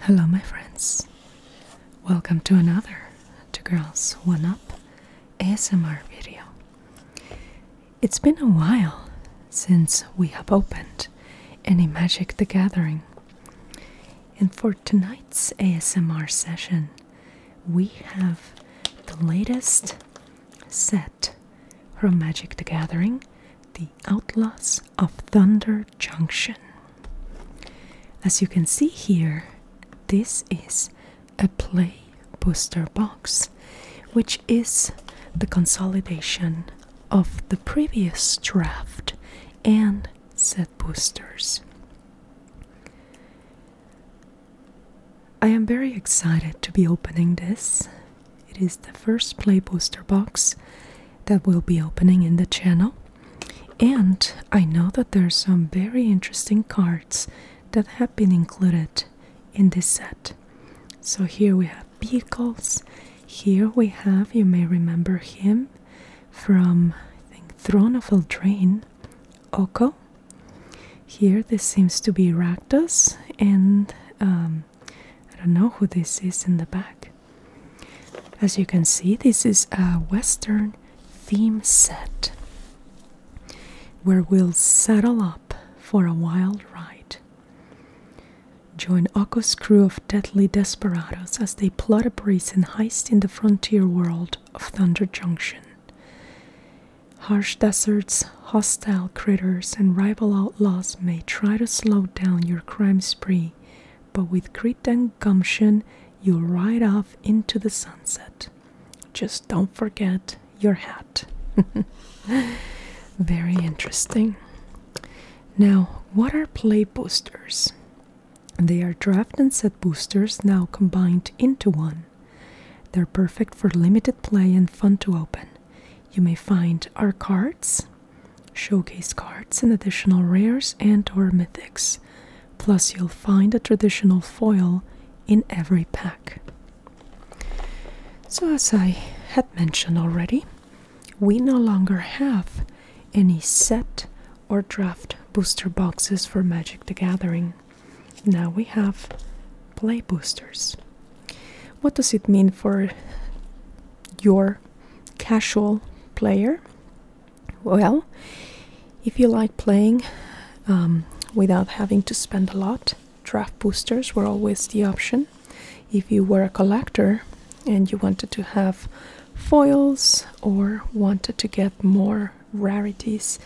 Hello, my friends. Welcome to another Two Girls One Up ASMR video. It's been a while since we have opened any Magic the Gathering. And for tonight's ASMR session, we have the latest set from Magic the Gathering The Outlaws of Thunder Junction. As you can see here, this is a play booster box, which is the consolidation of the previous draft and set boosters. I am very excited to be opening this. It is the first Play Booster box that we'll be opening in the channel. And I know that there are some very interesting cards that have been included in this set. So here we have Vehicles. Here we have, you may remember him from, I think, Throne of Eldraine. Oko. Here, this seems to be Rakdos, and um, I don't know who this is in the back. As you can see, this is a Western theme set where we'll settle up for a wild ride. Join Oko's crew of deadly desperados as they plot a brazen heist in the frontier world of Thunder Junction. Harsh deserts, hostile critters, and rival outlaws may try to slow down your crime spree, but with grit and gumption, you'll ride off into the sunset. Just don't forget your hat. Very interesting. Now, what are play boosters? They are draft and set boosters now combined into one. They're perfect for limited play and fun to open. You may find our cards, showcase cards, and additional rares and or mythics. Plus you'll find a traditional foil in every pack. So as I had mentioned already, we no longer have any set or draft booster boxes for Magic the Gathering. Now we have play boosters. What does it mean for your casual player? Well, if you like playing um, without having to spend a lot, draft boosters were always the option. If you were a collector and you wanted to have foils or wanted to get more rarities,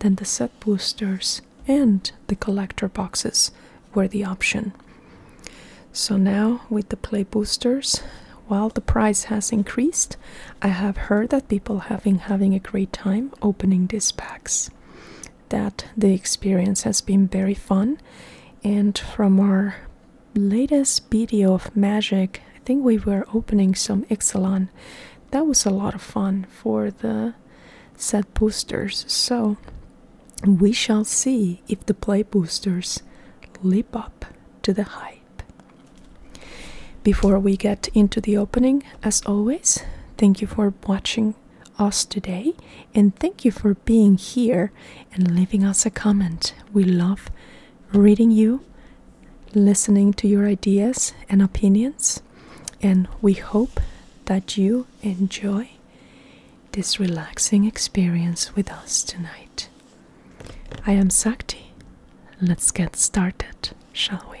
than the set boosters and the collector boxes were the option. So now, with the play boosters, while the price has increased, I have heard that people have been having a great time opening these packs. That the experience has been very fun, and from our latest video of magic, I think we were opening some Ixalan that was a lot of fun for the set boosters. So we shall see if the play boosters leap up to the hype. Before we get into the opening, as always, thank you for watching us today and thank you for being here and leaving us a comment. We love reading you listening to your ideas and opinions, and we hope that you enjoy this relaxing experience with us tonight. I am Sakti. Let's get started, shall we?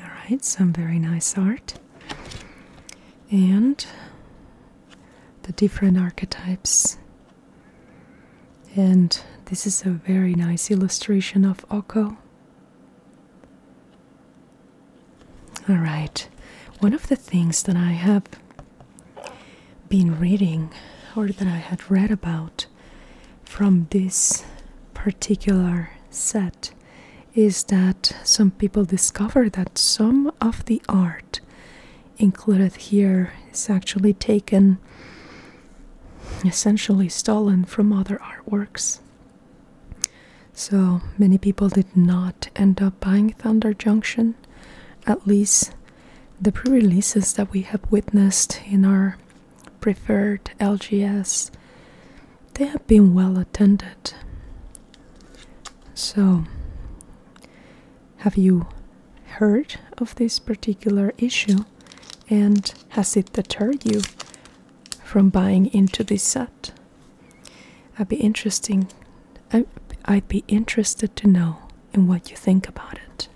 All right, some very nice art. And the different archetypes. And this is a very nice illustration of Oko. All right. One of the things that I have been reading or that I had read about from this particular set is that some people discover that some of the art included here is actually taken essentially stolen from other artworks. So many people did not end up buying Thunder Junction at least the pre-releases that we have witnessed in our preferred LGS, they have been well attended. So, have you heard of this particular issue and has it deterred you from buying into this set? I'd be interesting I, would be interested to know in what you think about it.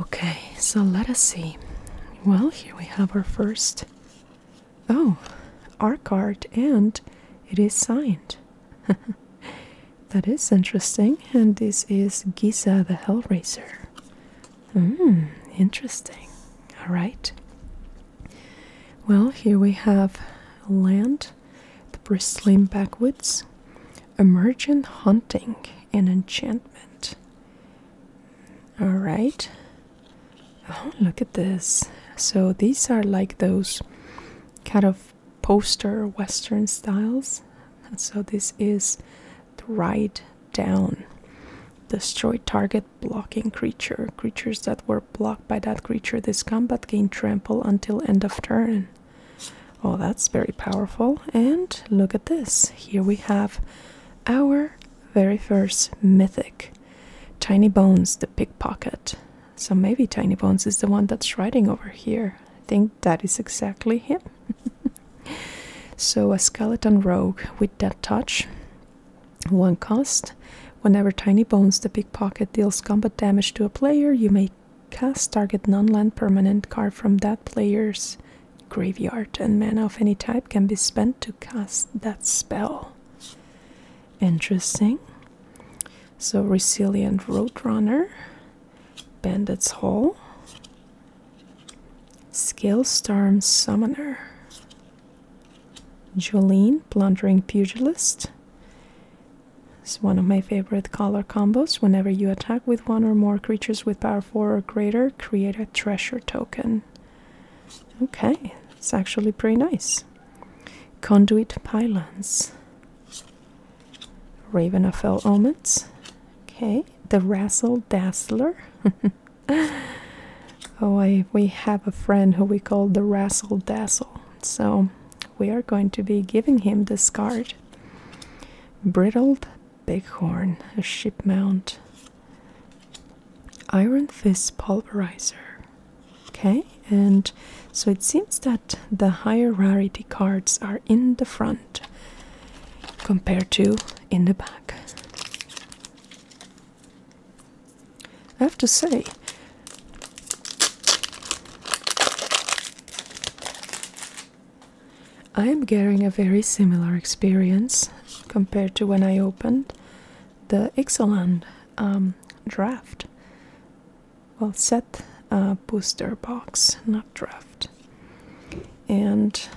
Okay, so let us see. Well, here we have our first. Oh, our card, and it is signed. That is interesting. And this is Giza the Hellraiser. Hmm, interesting. All right. Well, here we have land, the bristling backwoods, emergent hunting and enchantment. All right. Oh, look at this. So these are like those kind of poster Western styles so this is dried down destroy target blocking creature creatures that were blocked by that creature this combat gain trample until end of turn oh that's very powerful and look at this here we have our very first mythic tiny bones the pickpocket so maybe tiny bones is the one that's riding over here i think that is exactly him so a skeleton rogue with that touch. One cost. Whenever Tiny Bones the Pickpocket deals combat damage to a player, you may cast target non-land permanent card from that player's graveyard and mana of any type can be spent to cast that spell. Interesting. So resilient roadrunner. Bandits Hall, Skillstorm Summoner, Jolene Plundering Pugilist. It's one of my favorite color combos. Whenever you attack with one or more creatures with power 4 or greater, create a treasure token. Okay, it's actually pretty nice. Conduit Pylons. Raven of Fell Omens. Okay, the Razzle Dazzler. oh, I, we have a friend who we call the Razzle Dazzle. So we are going to be giving him this card. Brittled Bighorn, a ship mount. Iron Fist Pulverizer. Okay, and so it seems that the higher rarity cards are in the front compared to in the back. I have to say, I am getting a very similar experience compared to when I opened the Ixalan um, draft. Well, set uh, booster box, not draft. And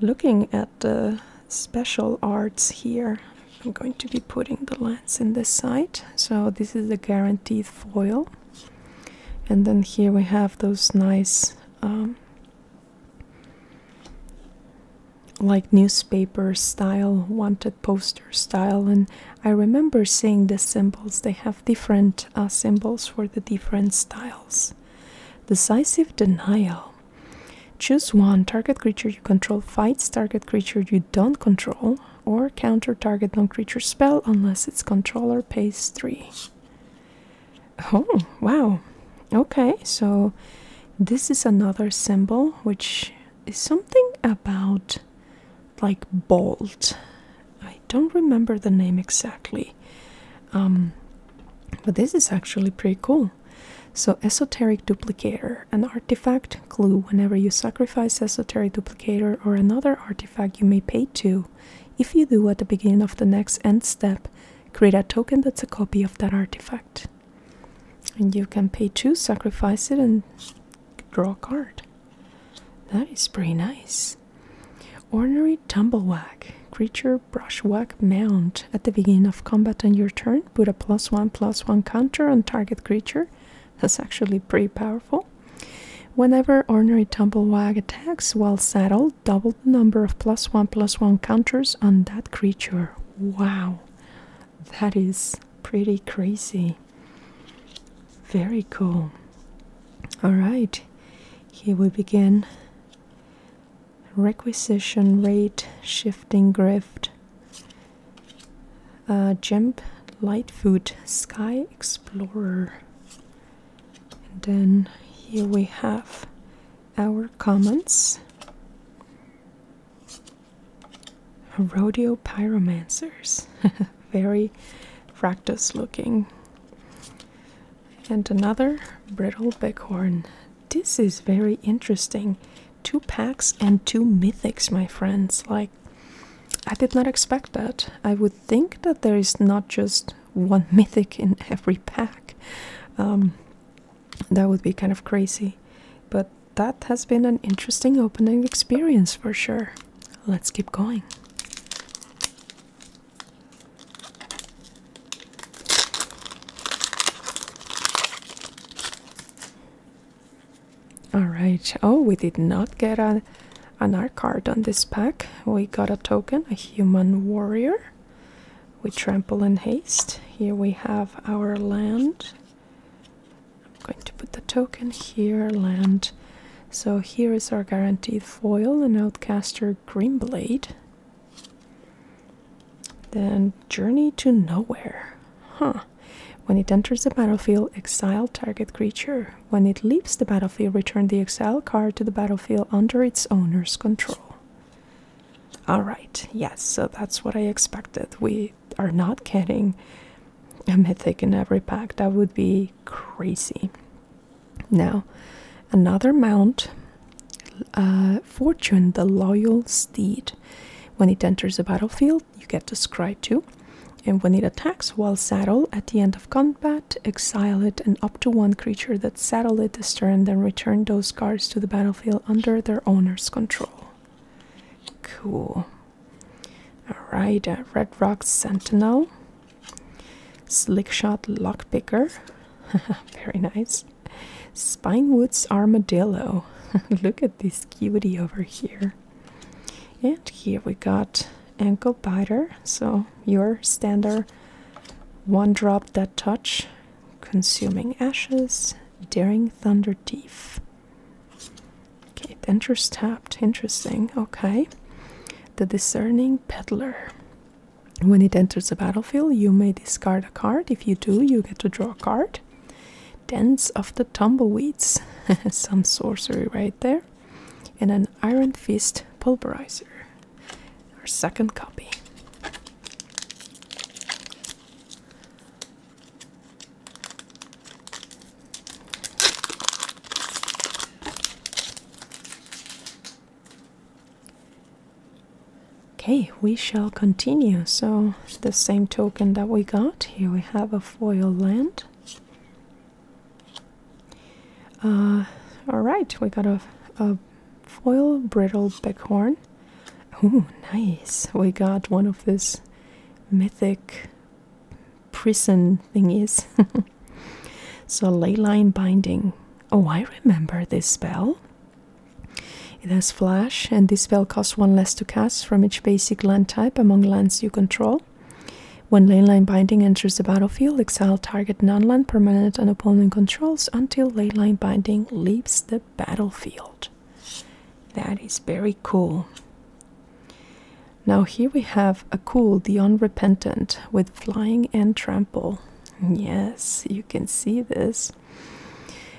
looking at the special arts here, I'm going to be putting the lens in this side. So this is the guaranteed foil. And then here we have those nice um, like newspaper style, wanted poster style. And I remember seeing the symbols. They have different uh, symbols for the different styles. Decisive denial. Choose one target creature you control fights target creature you don't control, or counter target non creature spell unless its controller pays 3. Oh, wow. Okay, so this is another symbol which is something about like bold, don't remember the name exactly. Um, but this is actually pretty cool. So, Esoteric Duplicator, an artifact clue. Whenever you sacrifice Esoteric Duplicator or another artifact, you may pay two. If you do at the beginning of the next end step, create a token that's a copy of that artifact. And you can pay two, sacrifice it, and draw a card. That is pretty nice. Ordinary tumblewag Creature brushwag Mount. At the beginning of combat on your turn, put a plus one plus one counter on target creature. That's actually pretty powerful. Whenever Ordinary tumblewag attacks while saddled, double the number of plus one plus one counters on that creature. Wow, that is pretty crazy. Very cool. All right, here we begin. Requisition rate, shifting grift, uh, jump, lightfoot, sky explorer. And then here we have our comments. Rodeo pyromancers, very fractus looking and another brittle bighorn. This is very interesting. Two packs and two mythics, my friends. Like, I did not expect that. I would think that there is not just one mythic in every pack. Um, that would be kind of crazy. But that has been an interesting opening experience for sure. Let's keep going. All right. Oh, we did not get a, an art card on this pack. We got a token, a human warrior. We trample in haste. Here we have our land. I'm going to put the token here, land. So here is our guaranteed foil, an outcaster Green Blade. Then Journey to Nowhere. Huh. When it enters the battlefield, exile target creature. When it leaves the battlefield, return the exile card to the battlefield under its owner's control. Alright, yes, so that's what I expected. We are not getting a mythic in every pack. That would be crazy. Now, another mount, uh, Fortune, the loyal steed. When it enters the battlefield, you get to scry to, and when it attacks while saddled at the end of combat, exile it and up to one creature that saddled it this turn, then return those cards to the battlefield under their owner's control. Cool. Alright, uh, Red Rock Sentinel. Slickshot Lockpicker, very nice. Spinewood's Armadillo, look at this cutie over here. And here we got Ankle Biter, so your standard one drop that touch, Consuming Ashes, Daring Thunder teeth. Okay, Dentures Tapped, interesting, okay. The Discerning Peddler. When it enters the battlefield, you may discard a card. If you do, you get to draw a card. Dance of the Tumbleweeds. Some sorcery right there. And an Iron Fist Pulverizer. Our second copy. Okay, we shall continue. So, the same token that we got here, we have a foil land. Uh, all right, we got a, a foil brittle bighorn. Oh, nice! We got one of those mythic prison thingies. so ley binding oh i remember this spell it has flash and this spell costs one less to cast from each basic land type among lands you control when ley binding enters the battlefield exile target non-land permanent an opponent controls until ley binding leaves the battlefield that is very cool now here we have a cool the unrepentant with flying and trample Yes, you can see this.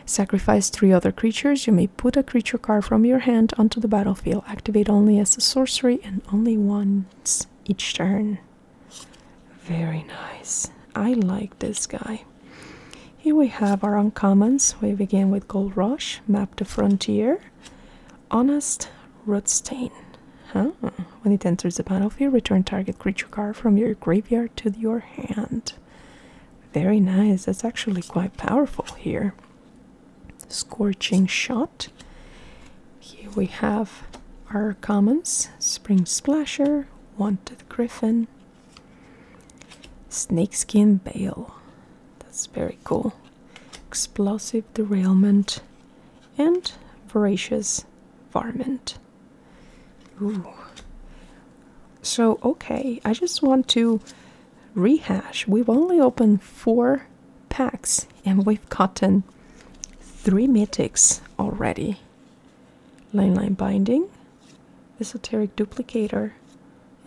Sacrifice three other creatures. You may put a creature card from your hand onto the battlefield. Activate only as a sorcery and only once each turn. Very nice. I like this guy. Here we have our uncommons. We begin with Gold Rush, Map the Frontier, Honest, Rot Stain. Huh? When it enters the battlefield, return target creature card from your graveyard to your hand. Very nice. That's actually quite powerful here. Scorching Shot. Here we have our commons Spring Splasher, Wanted Griffin, Snakeskin Bale. That's very cool. Explosive Derailment, and voracious varmint. Ooh. So, okay, I just want to rehash. We've only opened four packs and we've gotten three mythics already. Line Line Binding, Esoteric Duplicator,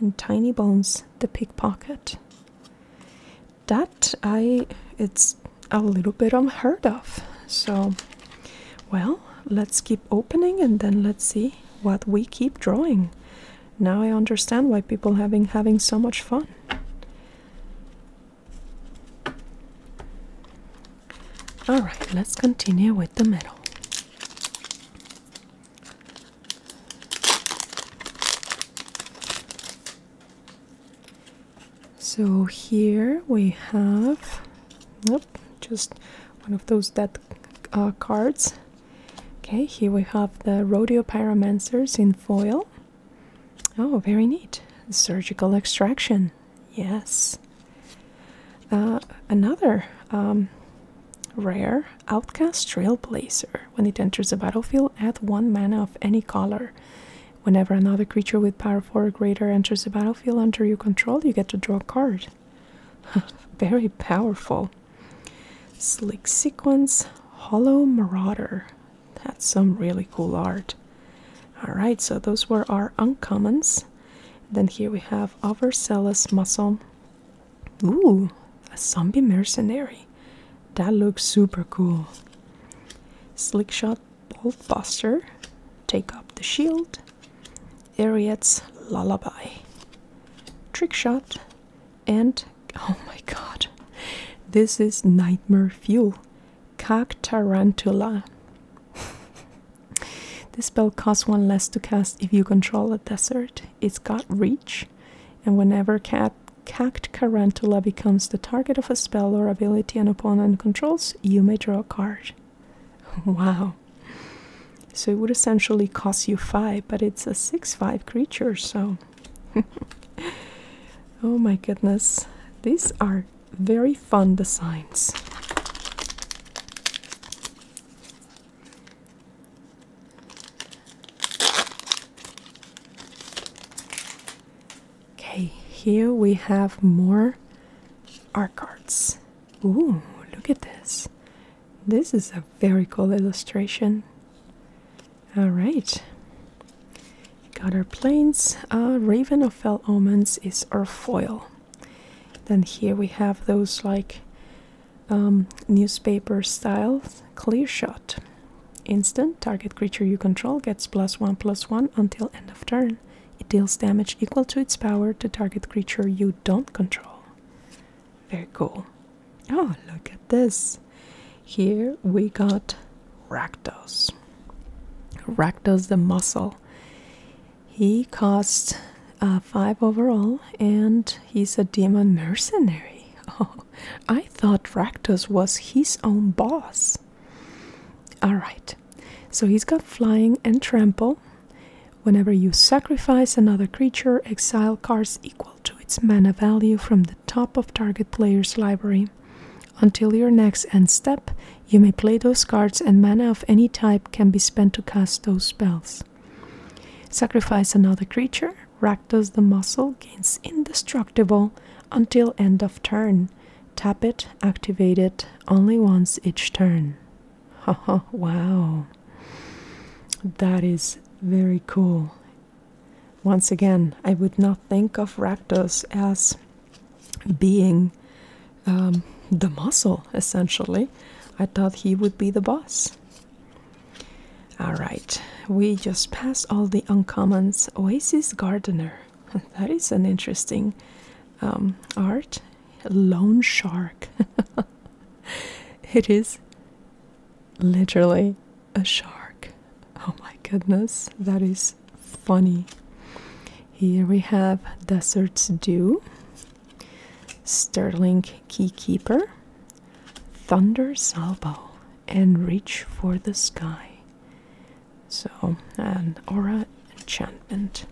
and Tiny Bones the Pickpocket that I it's a little bit unheard of. So, well, let's keep opening and then let's see what we keep drawing. Now I understand why people having having so much fun. All right, let's continue with the middle. So here we have nope, just one of those dead uh, cards. Okay, here we have the Rodeo Pyromancers in foil. Oh, very neat. Surgical extraction. Yes. Uh, another um, rare Outcast Trailblazer. When it enters the battlefield, add one mana of any color. Whenever another creature with power 4 or greater enters the battlefield under your control, you get to draw a card. Very powerful. Slick Sequence Hollow Marauder. That's some really cool art. Alright, so those were our uncommons. Then here we have Overzealous Muscle. Ooh, a zombie mercenary. That looks super cool. Slick Shot Boltbuster, Take Up the Shield, Ariet's Lullaby, Trick Shot, and oh my god, this is Nightmare Fuel, Cactarantula. this spell costs one less to cast if you control a desert. It's got reach, and whenever Cactarantula becomes the target of a spell or ability an opponent controls, you may draw a card. wow. So it would essentially cost you five, but it's a six five creature, so oh my goodness. These are very fun designs. Okay, here we have more art cards. Ooh, look at this. This is a very cool illustration. All right. Got our planes. Raven of Fell Omens is our foil. Then here we have those like um, newspaper style clear shot. Instant target creature you control gets plus one plus one until end of turn. It deals damage equal to its power to target creature you don't control. Very cool. Oh, look at this. Here we got Rakdos. Rakdos the Muscle. He costs uh, 5 overall and he's a demon mercenary. Oh, I thought Rakdos was his own boss. Alright, so he's got flying and trample. Whenever you sacrifice another creature, exile cards equal to its mana value from the top of target player's library. Until your next end step, you may play those cards, and mana of any type can be spent to cast those spells. Sacrifice another creature, Rakdos the Muscle gains indestructible until end of turn tap it, activate it only once each turn. wow, that is very cool. Once again, I would not think of Rakdos as being um, the muscle, essentially. I thought he would be the boss. Alright, we just passed all the uncommons. Oasis Gardener. that is an interesting um, art. lone shark. it is literally a shark. Oh my goodness, that is funny. Here we have Desert's Dew, Sterling Keykeeper, Thunder Salvo, and Reach for the Sky. So, an aura enchantment.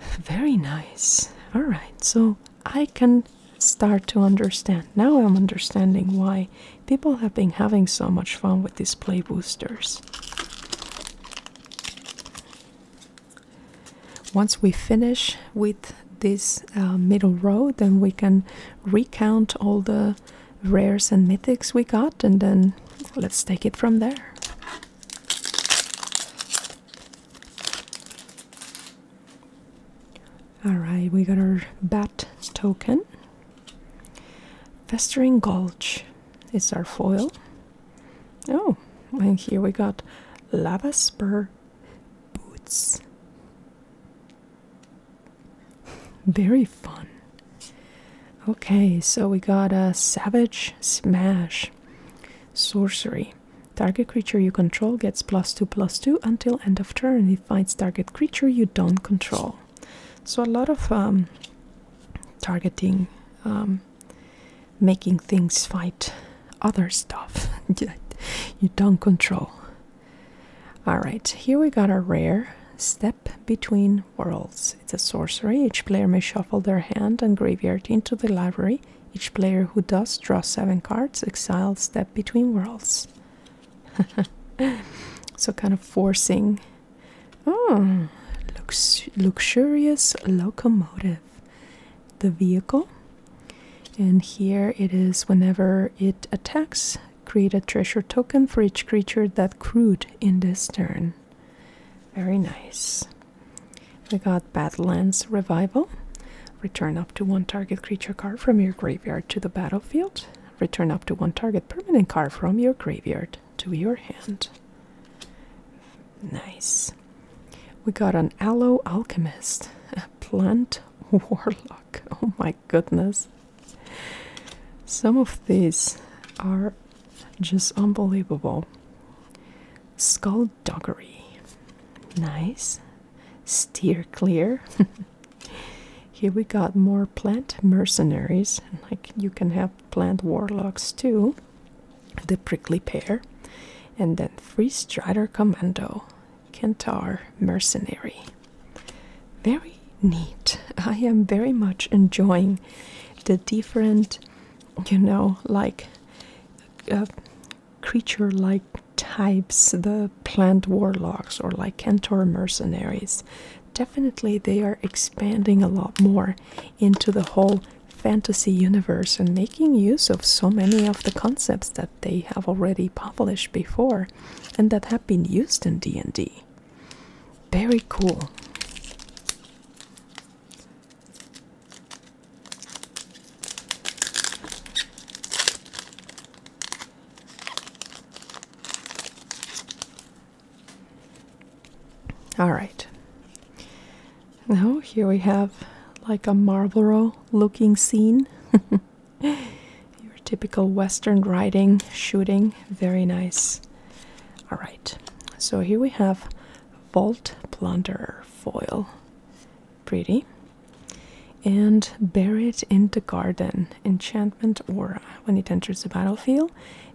Very nice. Alright, so I can start to understand. Now I'm understanding why people have been having so much fun with these play boosters. Once we finish with this uh, middle row, then we can recount all the rares and mythics we got, and then let's take it from there. Alright, we got our bat token. Festering Gulch it's our foil. Oh, and here we got Lava Spur Boots. Very fun. Okay, so we got a Savage Smash Sorcery. Target creature you control gets plus 2 plus 2 until end of turn. It finds target creature you don't control. So, a lot of um, targeting, um, making things fight other stuff you don't control. Alright, here we got a rare. step. Step Between Worlds. It's a sorcery. Each player may shuffle their hand and graveyard into the library. Each player who does draws seven cards, exile Step Between Worlds. so kind of forcing. Oh, lux luxurious locomotive. The vehicle. And here it is whenever it attacks, create a treasure token for each creature that crewed in this turn. Very nice. We got Badlands Revival. Return up to one target creature card from your graveyard to the battlefield. Return up to one target permanent card from your graveyard to your hand. Nice. We got an Aloe Alchemist, a Plant Warlock. Oh my goodness. Some of these are just unbelievable. Skullduggery. Nice. Steer clear. Here we got more plant mercenaries. Like you can have plant warlocks too. The prickly pear. And then Free Strider Commando. Kentar Mercenary. Very neat. I am very much enjoying the different, you know, like uh, creature like types, the plant warlocks or like Cantor mercenaries. Definitely, they are expanding a lot more into the whole fantasy universe and making use of so many of the concepts that they have already published before and that have been used in D&D. Very cool. All right. Now, here we have like a Marlboro looking scene. Your typical Western riding, shooting, very nice. All right, so here we have Vault Plunderer foil. Pretty. And buried in the garden. Enchantment aura. When it enters the battlefield,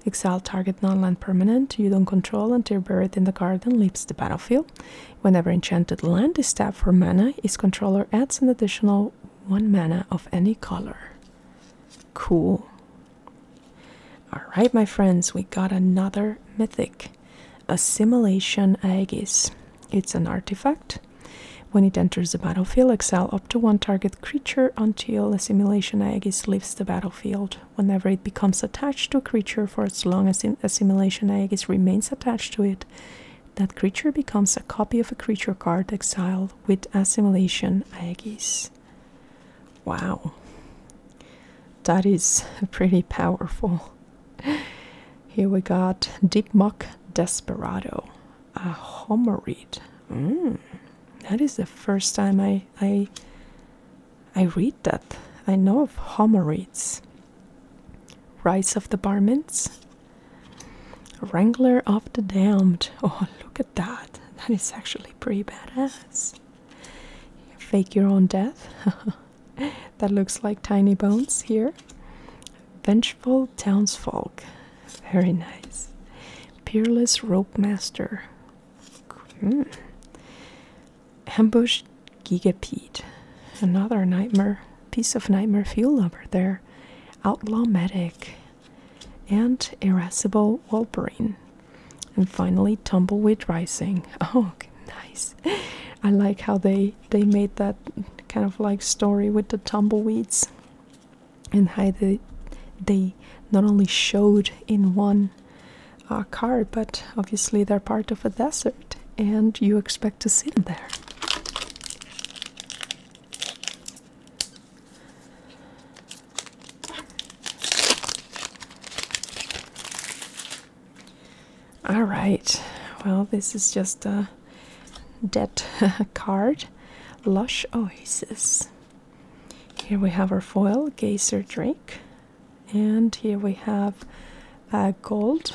exile target non-land permanent you don't control until buried in the garden leaves the battlefield. Whenever enchanted land is tapped for mana, its controller adds an additional one mana of any color. Cool. Alright, my friends, we got another mythic Assimilation Aegis. It's an artifact. When it enters the battlefield, exile up to one target creature until Assimilation Aegis leaves the battlefield. Whenever it becomes attached to a creature for as long as Assimilation Aegis remains attached to it, that creature becomes a copy of a creature card exiled with Assimilation Aegis. Wow. That is pretty powerful. Here we got Deep Muck Desperado, a Homeread. Mm, that is the first time I I I read that. I know of Homereads. Rise of the Barments, Wrangler of the Damned. Oh, look that. That is actually pretty badass. Fake your own death. that looks like tiny bones here. Vengeful townsfolk. Very nice. Peerless rope master. Hmm. Ambush Gigapede. Another nightmare. Piece of nightmare fuel over there. Outlaw medic and irascible wolverine. And finally, tumbleweed rising. Oh, nice! I like how they they made that kind of like story with the tumbleweeds, and how they they not only showed in one uh, car, but obviously they're part of a desert, and you expect to see them there. All right. Well, this is just a dead card. Lush Oasis. Here we have our foil, Geyser Drake. And here we have a uh, gold,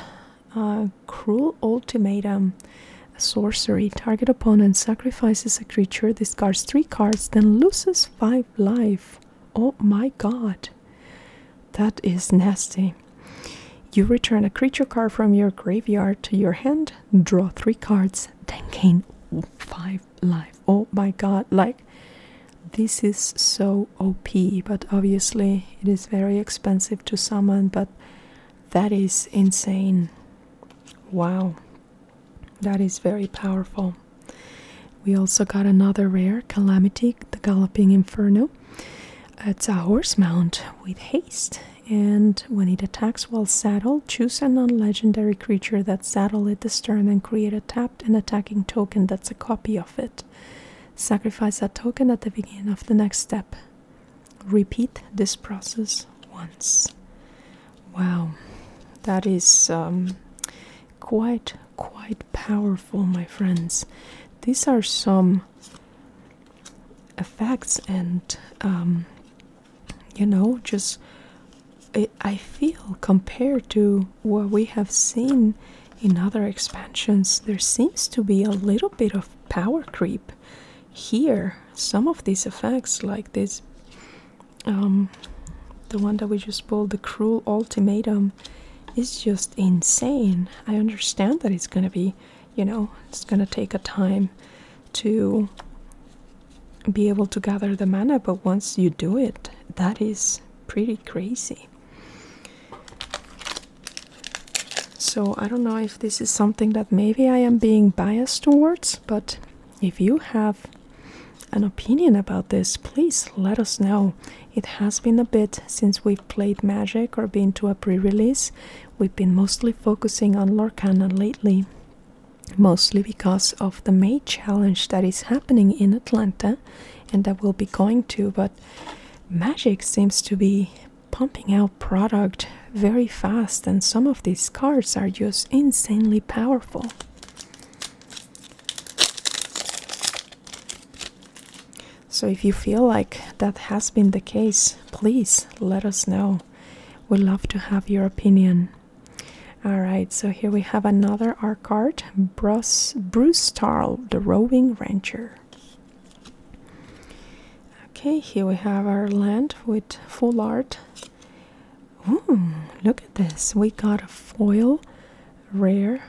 uh, Cruel Ultimatum, Sorcery. Target opponent sacrifices a creature, discards three cards, then loses five life. Oh my god. That is nasty. You return a creature card from your graveyard to your hand, draw three cards, then gain five life. Oh my god, like this is so OP, but obviously it is very expensive to summon, but that is insane. Wow. That is very powerful. We also got another rare calamity, the Galloping Inferno. It's a horse mount with haste, and when it attacks while saddled, choose a non legendary creature that saddled at the stern and create a tapped and attacking token that's a copy of it. Sacrifice that token at the beginning of the next step. Repeat this process once. Wow, that is um, quite quite powerful, my friends. These are some effects, and um, you know, just I feel compared to what we have seen in other expansions, there seems to be a little bit of power creep here. Some of these effects, like this um, the one that we just pulled, the Cruel Ultimatum, is just insane. I understand that it's gonna be, you know, it's gonna take a time to be able to gather the mana, but once you do it, that is pretty crazy. So I don't know if this is something that maybe I am being biased towards, but if you have an opinion about this, please let us know. It has been a bit since we've played Magic or been to a pre release. We've been mostly focusing on Lorcana lately, mostly because of the May challenge that is happening in Atlanta and that we'll be going to. But Magic seems to be pumping out product very fast, and some of these cards are just insanely powerful. So, if you feel like that has been the case, please let us know. We love to have your opinion. All right, so here we have another art card Bruce, Bruce Tarl, the Roving Rancher. Okay, here we have our land with full art look at this. We got a foil rare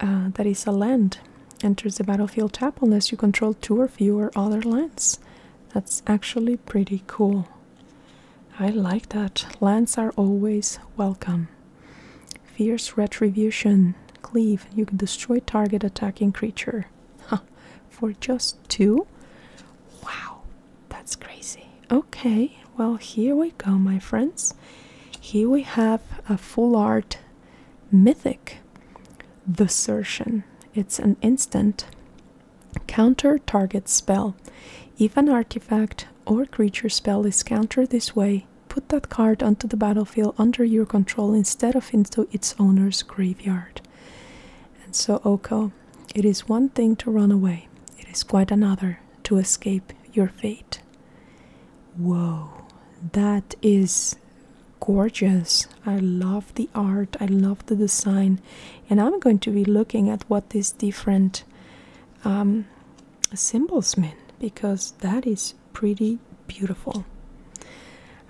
uh, that is a land. Enters the battlefield tap unless you control two or fewer other lands. That's actually pretty cool. I like that. Lands are always welcome. Fierce Retribution. Cleave. You can destroy target attacking creature. For just two? Wow. That's crazy. Okay, well, here we go, my friends. Here we have a full art mythic, the Surtion. It's an instant counter target spell. If an artifact or creature spell is countered this way, put that card onto the battlefield under your control instead of into its owner's graveyard. And so, Oko, it is one thing to run away, it is quite another to escape your fate. Whoa, that is gorgeous. I love the art, I love the design, and I'm going to be looking at what these different um, symbols mean because that is pretty beautiful.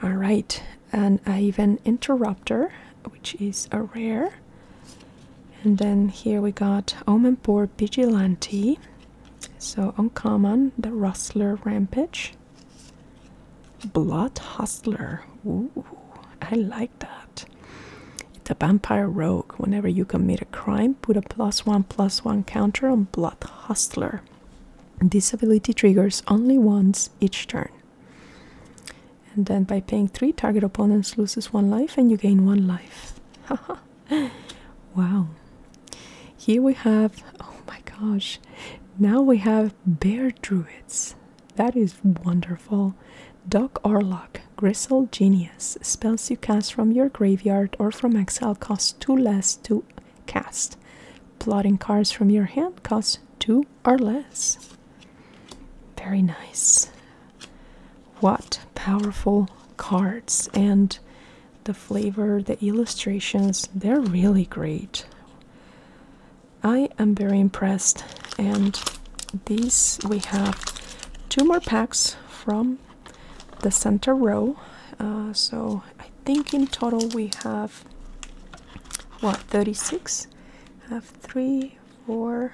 All right, and I have an interrupter, which is a rare. And then here we got Omen Omenpour Vigilante. So uncommon, the Rustler Rampage. Blood Hustler. Ooh, I like that. It's a vampire rogue. Whenever you commit a crime, put a plus one plus one counter on Blood Hustler. This ability triggers only once each turn. And then by paying three, target opponents loses one life and you gain one life. wow. Here we have, oh my gosh, now we have bear druids. That is wonderful. Doc Orlock, Gristle Genius. Spells you cast from your graveyard or from exile cost 2 less to cast. Plotting cards from your hand cost 2 or less. Very nice. What powerful cards and the flavor, the illustrations, they're really great. I am very impressed. And these we have two more packs from the center row. Uh, so I think in total we have what 36 have three four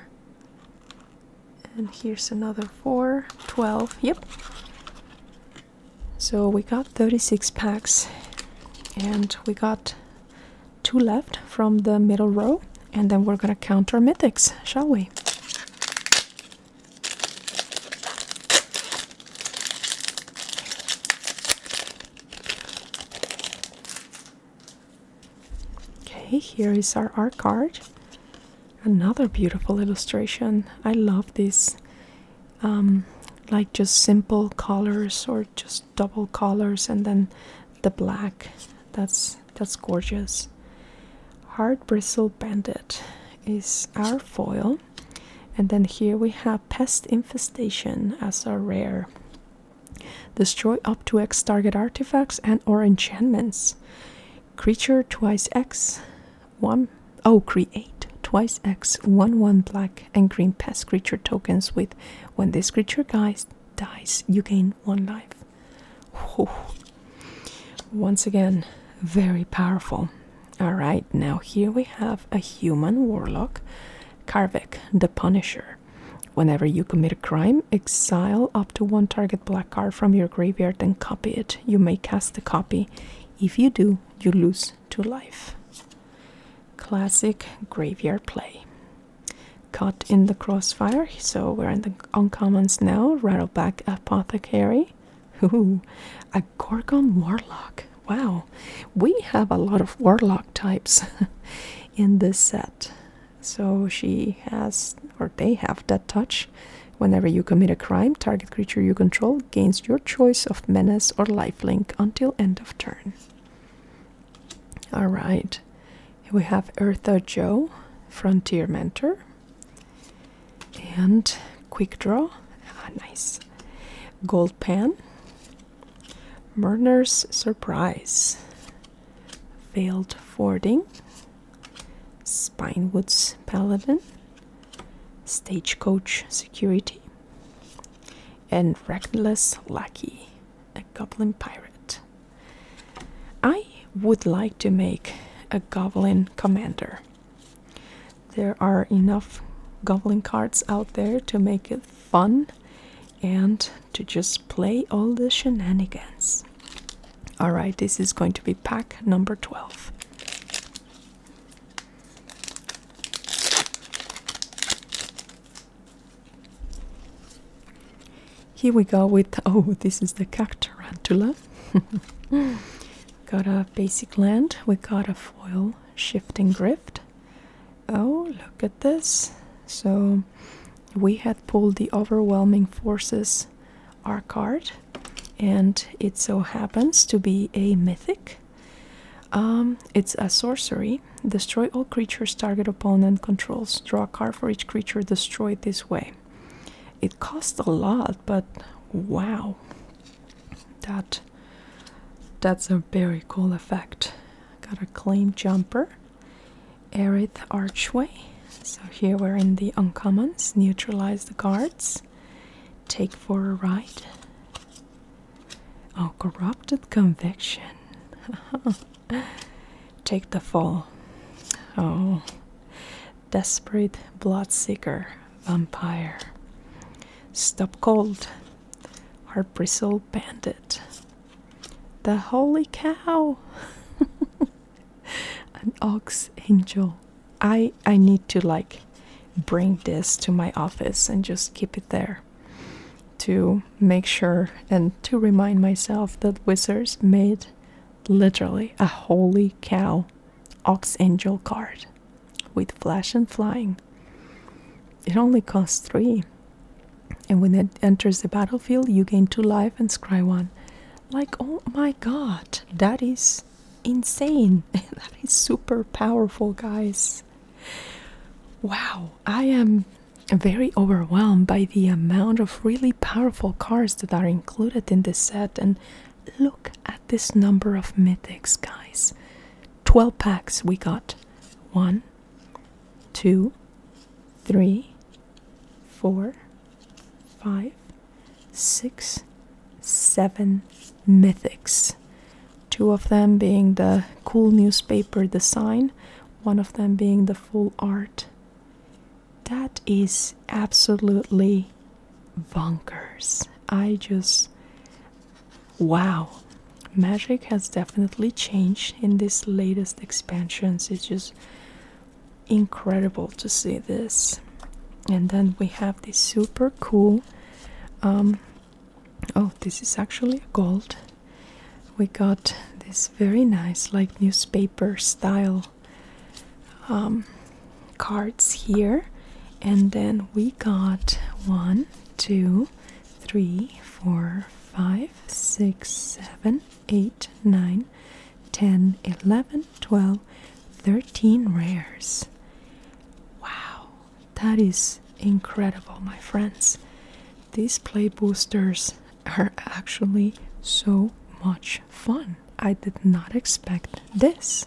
and here's another 4, 12, yep. So we got 36 packs and we got two left from the middle row and then we're gonna count our mythics, shall we? Okay, here is our art card. Another beautiful illustration. I love these, um, like just simple colors or just double colors, and then the black. That's that's gorgeous. Hard bristle bandit is our foil, and then here we have pest infestation as our rare. Destroy up to X target artifacts and or enchantments creature twice X, one oh create twice X one one black and green past creature tokens with when this creature guys dies you gain one life. Once again, very powerful. Alright, now here we have a human warlock, Karvik the Punisher. Whenever you commit a crime, exile to one target black card from your graveyard and copy it. You may cast a copy. If you do, you lose two life. Classic graveyard play. Caught in the crossfire, so we're in the uncommons now. Rattleback Apothecary. Ooh, a Gorgon Warlock. Wow, we have a lot of Warlock types in this set. So she has, or they have, that touch. Whenever you commit a crime, target creature you control gains your choice of menace or lifelink until end of turn. Alright, we have Eartha Joe, Frontier Mentor, and Quick Draw. Ah, nice. Gold Pan, Murder's Surprise, Failed Fording, Spinewoods Paladin, Stagecoach Security, and Reckless Lackey, a Goblin Pirate. I would like to make a Goblin Commander. There are enough Goblin cards out there to make it fun and to just play all the shenanigans. All right, this is going to be pack number 12. Here we go with oh, this is the cactarantula. got a basic land, we got a foil shifting drift. Oh, look at this. So we had pulled the overwhelming forces our card and it so happens to be a mythic um, it's a sorcery destroy all creatures target opponent controls draw a card for each creature destroyed this way it costs a lot but wow that that's a very cool effect got a claim jumper aerith archway so here we're in the uncommons. Neutralize the guards. Take for a ride. Oh, corrupted conviction. Take the fall. Oh, desperate bloodseeker, vampire. Stop cold. Heart bristle bandit. The holy cow. an ox angel. I I need to like bring this to my office and just keep it there to make sure and to remind myself that Wizards made literally a holy cow ox angel card with flash and flying. It only costs three. And when it enters the battlefield, you gain two life and scry one. Like, oh my god, that is insane. that is super powerful, guys. Wow, I am very overwhelmed by the amount of really powerful cards that are included in this set. And look at this number of mythics, guys 12 packs we got. One, two, three, four, five, six, seven mythics. Two of them being the cool newspaper design, one of them being the full art. That is absolutely bonkers. I just. Wow. Magic has definitely changed in these latest expansions. It just incredible to see this. And then we have this super cool. Um, oh, this is actually gold. We got this very nice, like newspaper style um, cards here. And then we got one, two, three, four, five, six, seven, eight, nine, Ten, eleven, twelve, thirteen rares. Wow, that is incredible, my friends. These play boosters are actually so much fun. I did not expect this.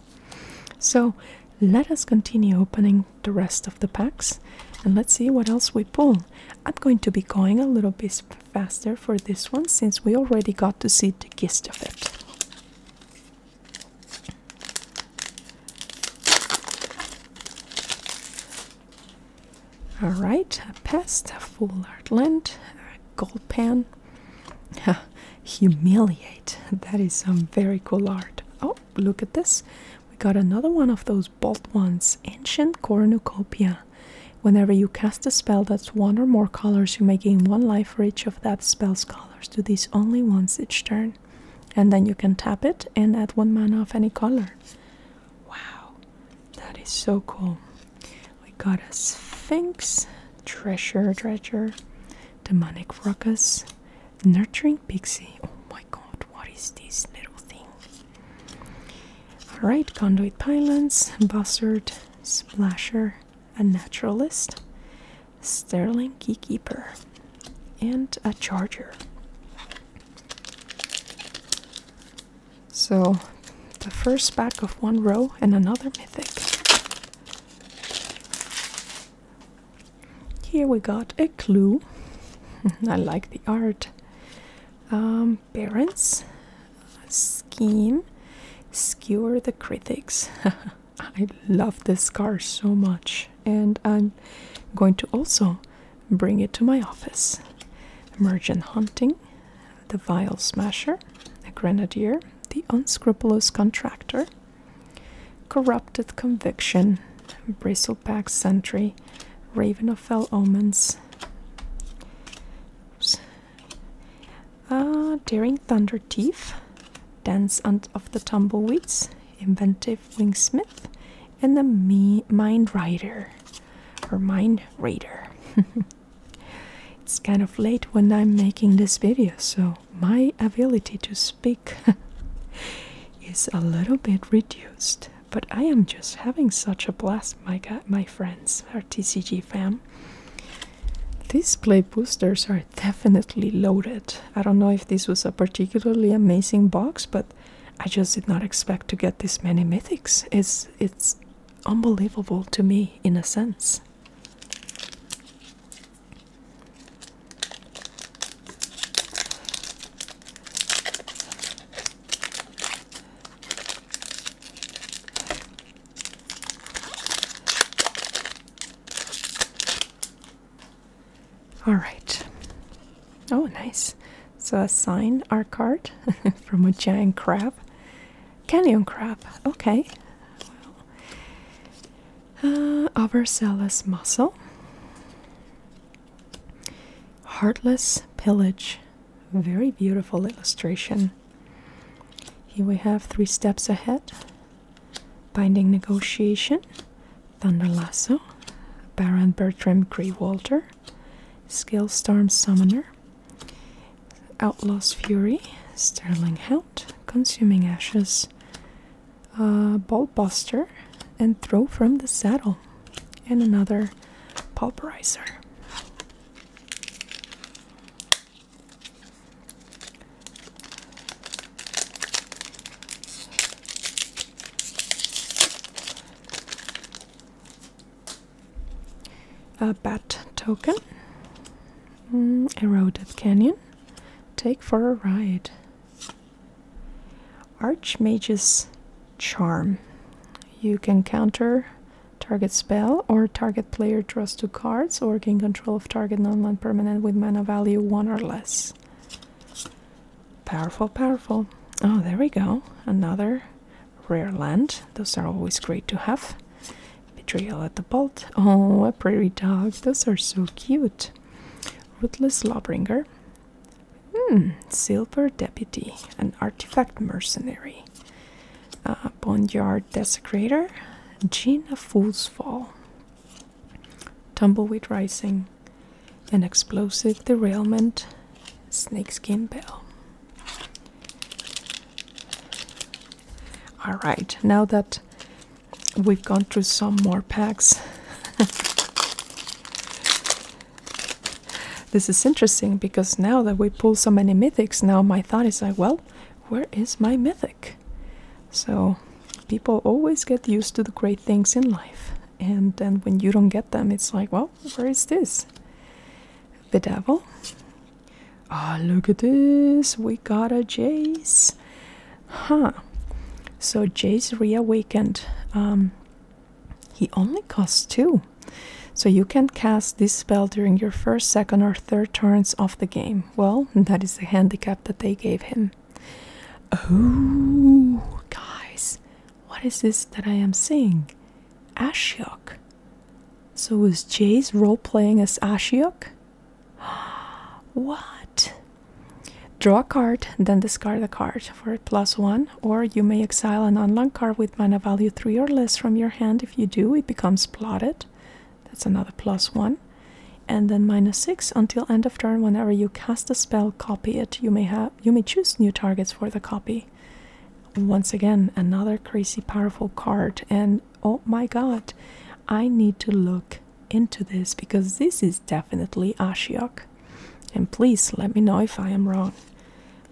So let us continue opening the rest of the packs and let's see what else we pull. I'm going to be going a little bit faster for this one since we already got to see the gist of it. Alright, a pest, a full art lent, a gold pen. Humiliate. That is some very cool art. Oh, look at this. We got another one of those bold ones. Ancient cornucopia. Whenever you cast a spell that's one or more colors, you may gain one life for each of that spell's colors. Do this only once each turn. And then you can tap it and add one mana of any color. Wow, that is so cool. We got a Sphinx, Treasure Dredger, Demonic Ruckus, Nurturing Pixie. Oh my god, what is this little thing? Alright, Conduit Pylons, Buzzard, Splasher, a naturalist, Sterling Keykeeper, and a charger. So the first pack of one row and another mythic. Here we got a clue. I like the art. Um, parents, scheme skewer the critics i love this car so much and i'm going to also bring it to my office merchant hunting the vial smasher the grenadier the unscrupulous contractor corrupted conviction bristleback sentry raven of fell omens uh, daring thunder thief, dance of the tumbleweeds, inventive wingsmith, and the me mind rider, or mind raider. it's kind of late when I'm making this video, so my ability to speak is a little bit reduced. But I am just having such a blast, my my friends, our TCG fam. These play boosters are definitely loaded. I don't know if this was a particularly amazing box, but I just did not expect to get this many mythics. It's it's unbelievable to me in a sense. All right. Oh, nice. So a sign art card from a giant crab. Canyon crab. Okay. Well, uh, muscle. Heartless pillage. Very beautiful illustration. Here we have three steps ahead binding negotiation, thunder lasso, Baron Bertram Greywalter, Skillstorm Summoner, Outlaw's Fury, Sterling Hound, Consuming Ashes, uh, Ballbuster, and Throw from the Saddle, and another Pulverizer. A bat token, mm, eroded canyon, take for a ride. Archmage's charm. You can counter target spell or target player draws two cards or control of target non-land permanent with mana value 1 or less. Powerful, powerful. Oh, there we go. Another rare land. Those are always great to have. Betrayal at the Bolt. Oh, a prairie dog. Those are so cute. Ruthless Lawbringer. Hmm, Silver Deputy. An artifact mercenary uh, Bondyard Desecrator, Gin of Fool's Fall, Tumbleweed Rising, An Explosive Derailment, Snakeskin Bell. Alright, now that we've gone through some more packs. this is interesting because now that we pull so many mythics, now my thought is like, well, where is my mythic? So people always get used to the great things in life, and then when you don't get them, it's like, well, where is this? The devil. Ah, look at this. We got a Jace. Huh. So Jace reawakened. Um, he only costs two. So you can cast this spell during your first, second, or third turns of the game. Well, that is the handicap that they gave him. Oh, guys, what is this that I am seeing? Ashiok. So was Jay's role playing as Ashiok? What? Draw a card, then discard a card for a plus one, or you may exile an unlocked card with mana value three or less from your hand. If you do, it becomes plotted. That's another plus one. And then minus six until end of turn. Whenever you cast a spell, copy it. You may have you may choose new targets for the copy. Once again, another crazy powerful card. And oh my god, I need to look into this because this is definitely Ashiok. And please let me know if I am wrong.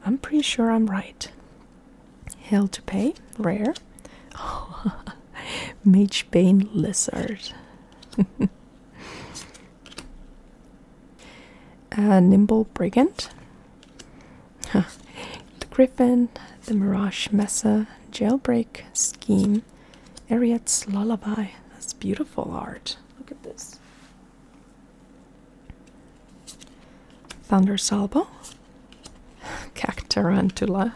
I'm pretty sure I'm right. Hell to pay, rare. Magebane Lizard. Uh, Nimble Brigand. The Griffin, the Mirage Mesa, Jailbreak Scheme, Ariad's Lullaby. That's beautiful art. Look at this. Thunder Salvo, Cactarantula,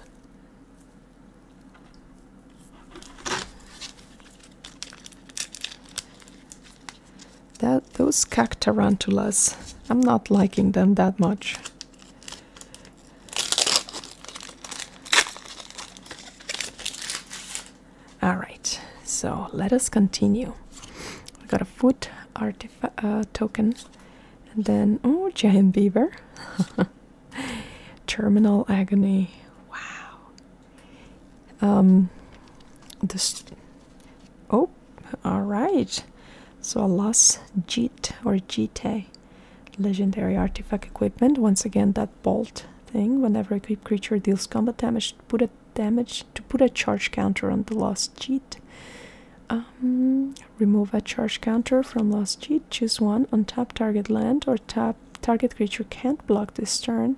that those cactuarantulas. I'm not liking them that much. All right, so let us continue. We got a foot artifact uh, token, and then oh, giant beaver. Terminal agony. Wow. Um. This. Oh, all right. So a lost cheat or jete. Eh, legendary artifact equipment. Once again, that bolt thing. Whenever a creature deals combat damage, put a damage to put a charge counter on the lost cheat. Um, remove a charge counter from Lost cheat. Choose one on top target land or top target creature can't block this turn.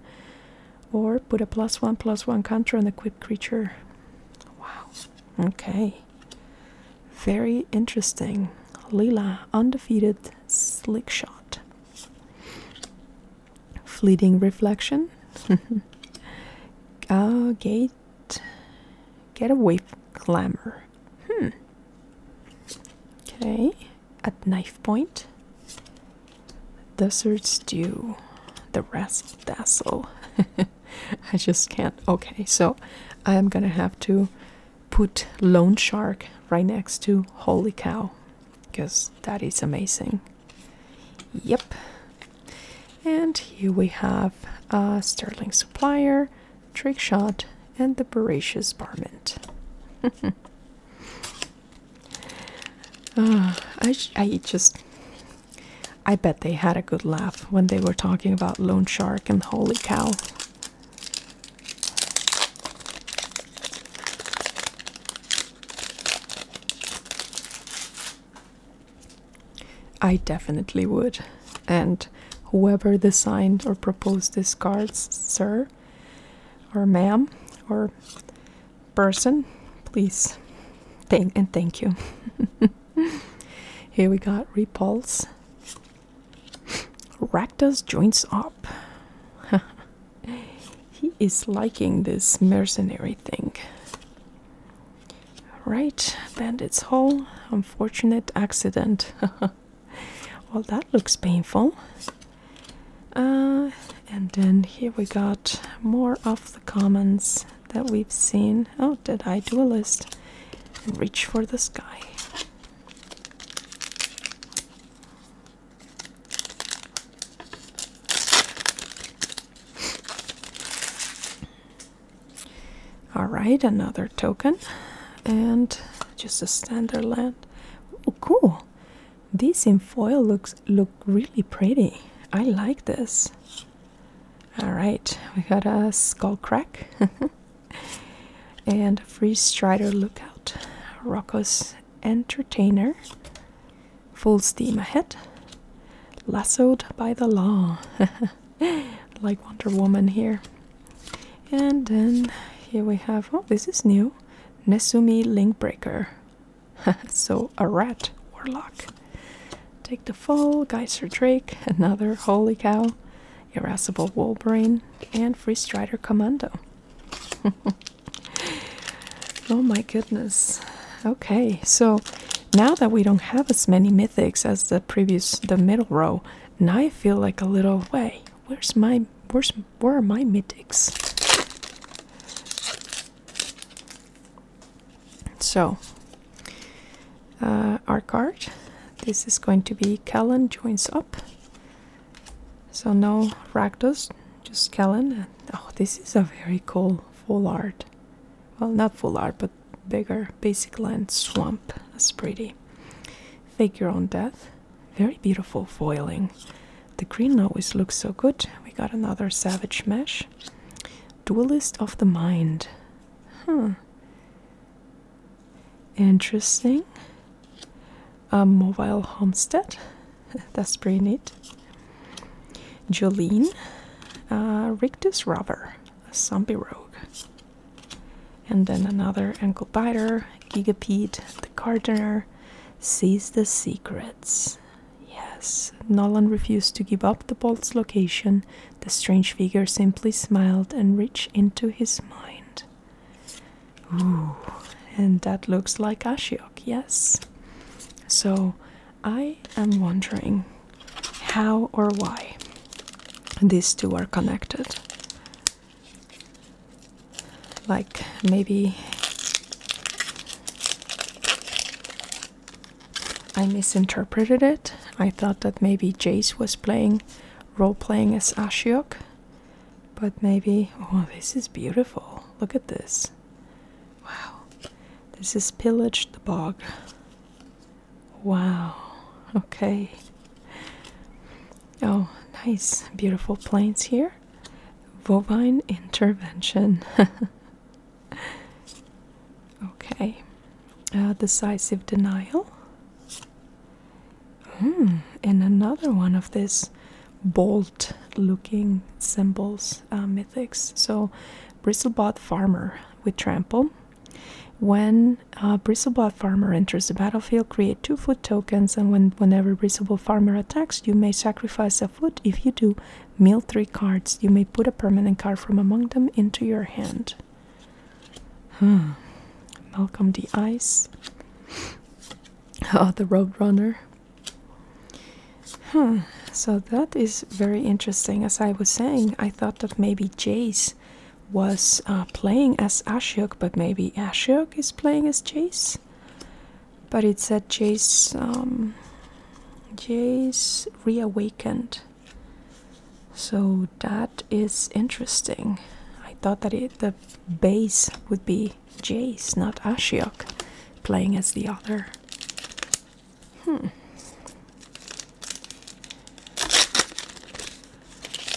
Or put a plus one plus one counter on equipped creature. Wow. Okay. Very interesting. Lila, undefeated slick shot. Fleeting reflection. okay, ah, might get away glamour. Hmm. Okay. At knife point. Desert stew. The rasp dazzle. I just can't. Okay, so I'm gonna have to put Lone Shark right next to Holy Cow because that is amazing. Yep. And here we have a Sterling Supplier, Trick Shot, and the Voracious Barment. Uh, I, I just. I bet they had a good laugh when they were talking about Lone Shark and Holy Cow. I definitely would and whoever designed or proposed these cards, sir or ma'am or person, please thank and thank you. Here we got repulse. Ractus joins up. he is liking this mercenary thing. Right, bandits hole. Unfortunate accident. well, that looks painful. Uh, and then here we got more of the comments that we've seen. Oh, did I do a list? Reach for the sky. Alright, another token. And just a standard land. Oh cool. this in foil looks look really pretty. I like this. Alright, we got a skull crack and free strider lookout. Rocco's entertainer. Full steam ahead. Lassoed by the law. like Wonder Woman here. And then here we have oh, this is new Nesumi Linkbreaker. so a rat warlock. Take the Fall, Geyser Drake, another Holy Cow, Irascible Wolverine, and Free Commando. oh my goodness. Okay, so now that we don't have as many mythics as the previous, the middle row, now I feel like a little way. Where's my where's where are my mythics? So uh, our card. This is going to be Callan joins up. So no Rakdos, just Callan. Oh, this is a very cool full art. Well, not full art, but bigger basic land swamp. That's pretty. Figure on death. Very beautiful foiling. The green always looks so good. We got another savage mesh. Duelist of the mind. Huh. Interesting. A mobile homestead. That's pretty neat. Jolene. Uh, Rictus robber. A zombie rogue. And then another ankle biter, Gigapede, the gardener, sees the secrets. Yes, Nolan refused to give up the bolt's location. The strange figure simply smiled and reached into his mind. Ooh, and that looks like Ashiok, yes. So I am wondering how or why these two are connected like maybe I misinterpreted it. I thought that maybe Jace was playing role playing as Ashiok, but maybe oh, this is beautiful. Look at this. Wow, this is pillaged the bog. Wow, okay. Oh, nice, beautiful plains here. Bovine intervention. okay, uh, decisive denial. Hmm, and another one of this bolt looking symbols uh, mythics. So, bristlebot farmer with trample. When a Bristlebaugh farmer enters the battlefield, create two foot tokens, and when whenever Bristlebaugh farmer attacks, you may sacrifice a foot. If you do, mill three cards. You may put a permanent card from among them into your hand. Hmm. Malcolm the Ice. Oh, the Roadrunner. Hmm. So that is very interesting. As I was saying, I thought that maybe Jace was uh, playing as Ashiok, but maybe Ashiok is playing as Jace. But it said Jace, um, Jace reawakened. So that is interesting. I thought that the base would be Jace, not Ashiok, playing as the other. Hmm.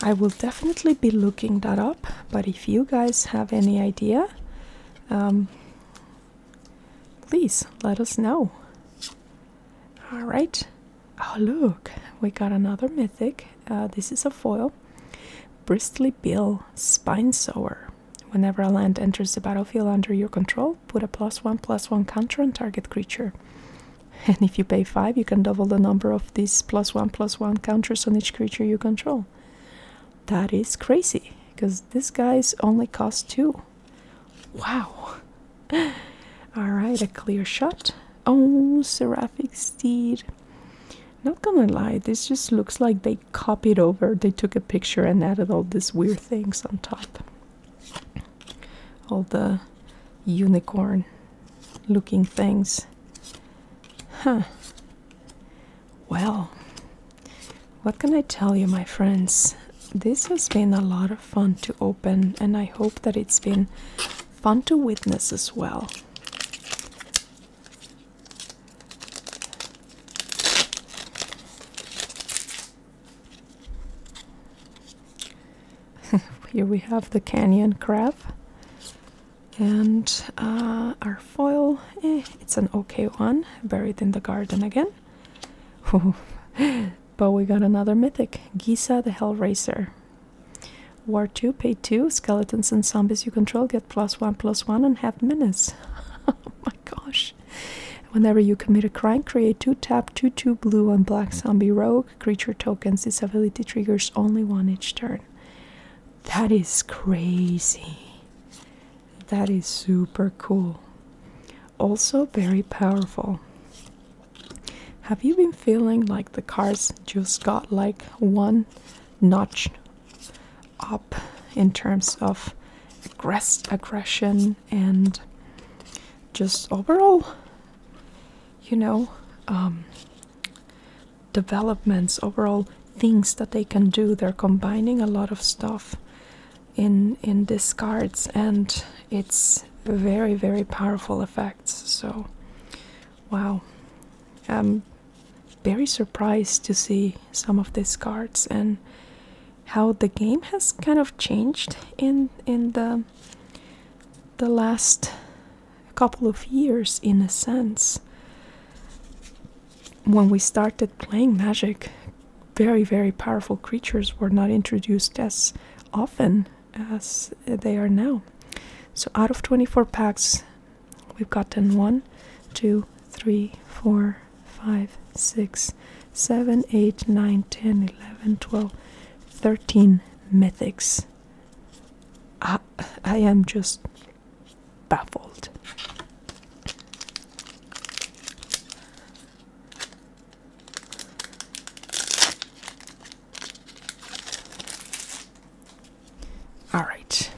I will definitely be looking that up, but if you guys have any idea, um, please let us know. All right. Oh, look, we got another mythic. Uh, this is a foil. Bristly Bill Spine Sower. Whenever a land enters the battlefield under your control, put a plus one plus one counter on target creature. And if you pay 5, you can double the number of these plus 1 plus 1 counters on each creature you control. That is crazy, because this guy's only cost 2. Wow! Alright, a clear shot. Oh, Seraphic Steed. Not gonna lie, this just looks like they copied over, they took a picture and added all these weird things on top. All the unicorn looking things. Huh. Well, what can I tell you, my friends? This has been a lot of fun to open, and I hope that it's been fun to witness as well. Here we have the canyon crab and uh, our foil eh, it's an okay one buried in the garden again but we got another mythic Giza the Hellraiser war 2 pay 2 skeletons and zombies you control get plus 1 plus 1 and have menace oh my gosh whenever you commit a crime create 2 tap 2 2 blue and black zombie rogue creature tokens this ability triggers only one each turn that is crazy. That is super cool. Also, very powerful. Have you been feeling like the cards just got like one notch up in terms of aggress aggression and just overall, you know, um, developments, overall things that they can do. They're combining a lot of stuff in in these cards, and it's very very powerful effects. So, wow, I'm very surprised to see some of these cards and how the game has kind of changed in in the the last a couple of years in a sense when we started playing magic very very powerful creatures were not introduced as often as they are now so out of 24 packs we've gotten 1 2 3 4 5 6 7 8 9 10 11 12 13 mythics I, I am just baffled. All right,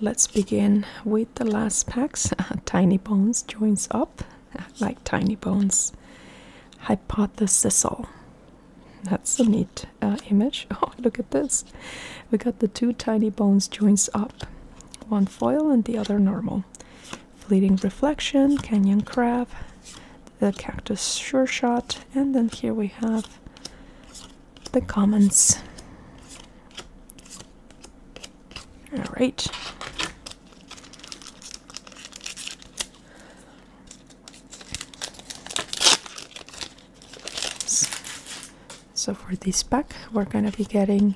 let's begin with the last packs. Tiny Bones joins up, like Tiny Bones. Hypothesisal. That's a neat uh, image. Oh, look at this. We got the two tiny bones joints up. One foil and the other normal. Fleeting Reflection, Canyon Crab, the Cactus Sure Shot, and then here we have the comments. Alright. So for this pack, we're gonna be getting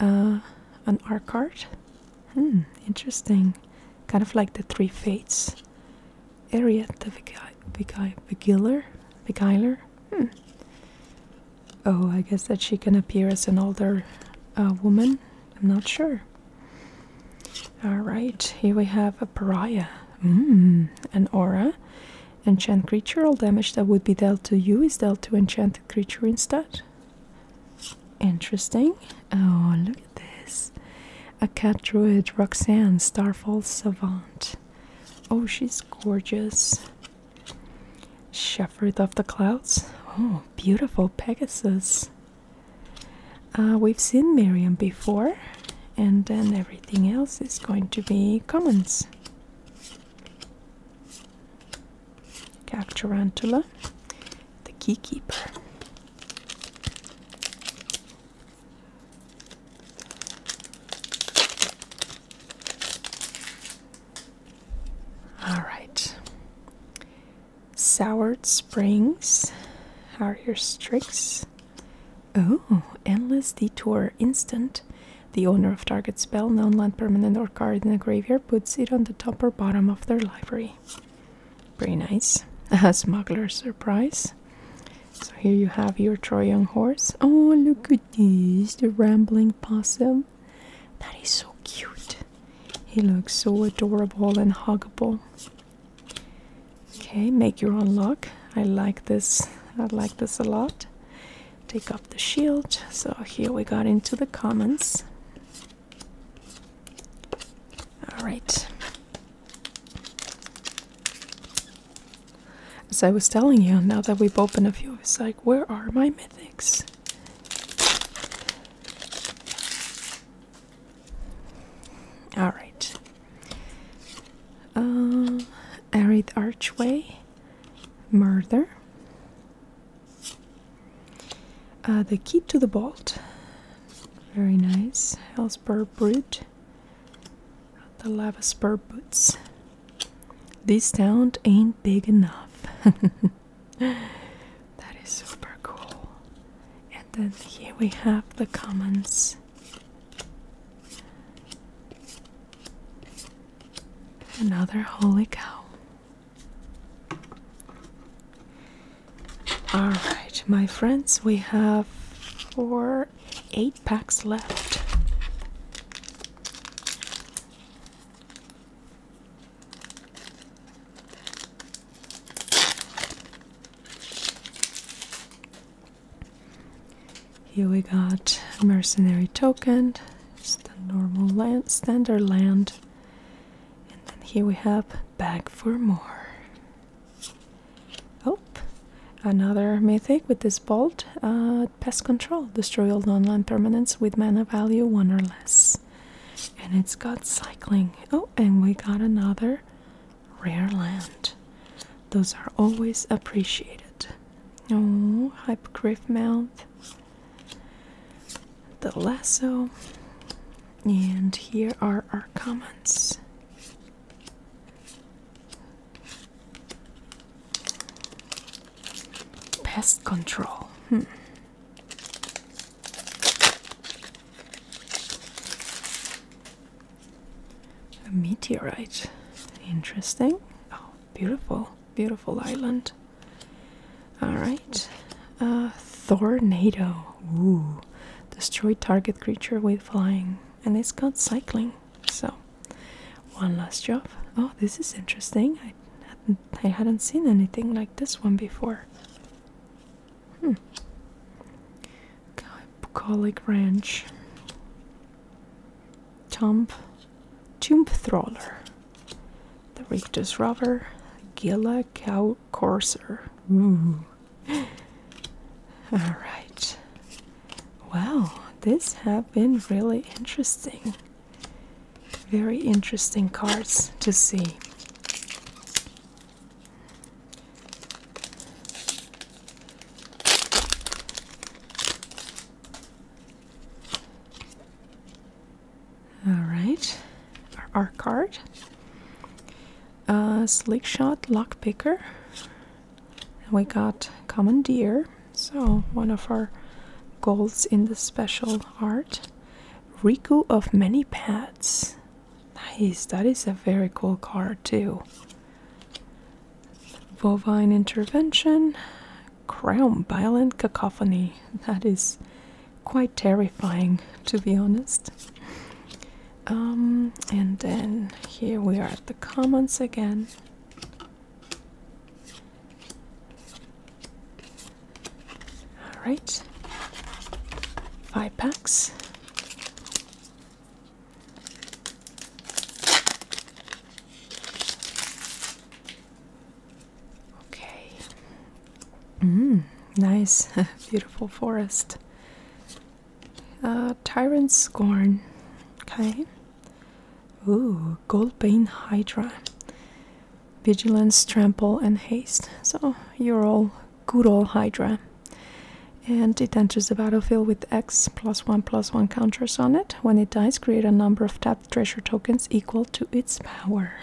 uh, an R card. Hmm, interesting. Kind of like the Three Fates. Ariette the Beguiler? Beguiler? Beguiler? Hmm. Oh, I guess that she can appear as an older uh, woman. I'm not sure. Alright, here we have a pariah. Mm, an aura. Enchant creature. All damage that would be dealt to you is dealt to enchanted creature instead. Interesting. Oh, look at this. A cat druid, Roxanne, Starfall Savant. Oh, she's gorgeous. Shepherd of the Clouds. Oh, beautiful Pegasus. Uh, we've seen Miriam before, and then everything else is going to be commons. Cap Tarantula, the Keykeeper. All right. Soured Springs, are your Strix, Oh, Endless Detour Instant. The owner of target spell, known land permanent or card in a graveyard puts it on the top or bottom of their library. Pretty nice. Smuggler's surprise. So here you have your Trojan horse. Oh, look at this, the rambling possum. That is so cute. He looks so adorable and huggable. Okay, make your own lock. I like this. I like this a lot. Take off the shield. So here we got into the commons. All right. As I was telling you, now that we've opened a few, it's like, where are my mythics? All right. Um, arid archway, murder. Uh, the key to the bolt. very nice. Hellspur brute, the lava spur boots. This town ain't big enough. that is super cool. And then here we have the commons. Another holy cow. All right, my friends, we have four, eight packs left. Here we got mercenary token, just a normal land, standard land. And then here we have bag for more. Oh, another mythic with this bolt. Uh, pest control, destroy all non permanents with mana value one or less. And it's got cycling. Oh, and we got another rare land. Those are always appreciated. Oh, Hypogriff mouth. The lasso. And here are our comments. Pest control. Hmm. A meteorite. Interesting. Oh, beautiful, beautiful island. All right. a tornado. Ooh. Destroy target creature with flying. And it's got cycling. So, one last job. Oh, this is interesting. I hadn't, seen anything like this one before. Hmm. Bucolic Ranch. Tomb, Tomb Thriller. The Rictus Robber. Gila Cow Courser. Ooh. Alright. Well, this have been really interesting. Very interesting cards to see. All right, our, card. Uh, Sleek Shot Lockpicker. we got Commandeer, so one of our goals in the special art. Riku of Many Pads. Nice, that is a very cool card too. Bovine intervention, crown violent cacophony. That is quite terrifying, to be honest. Um, and then here we are at the commons again. All right, five packs. Okay. Mm, nice, beautiful forest. Uh, Tyrant Scorn. Okay. Ooh, Goldbane Hydra. Vigilance, Trample, and Haste. So you're all good all Hydra and it enters the battlefield with X plus one plus one counters on it. When it dies, create a number of tapped treasure tokens equal to its power.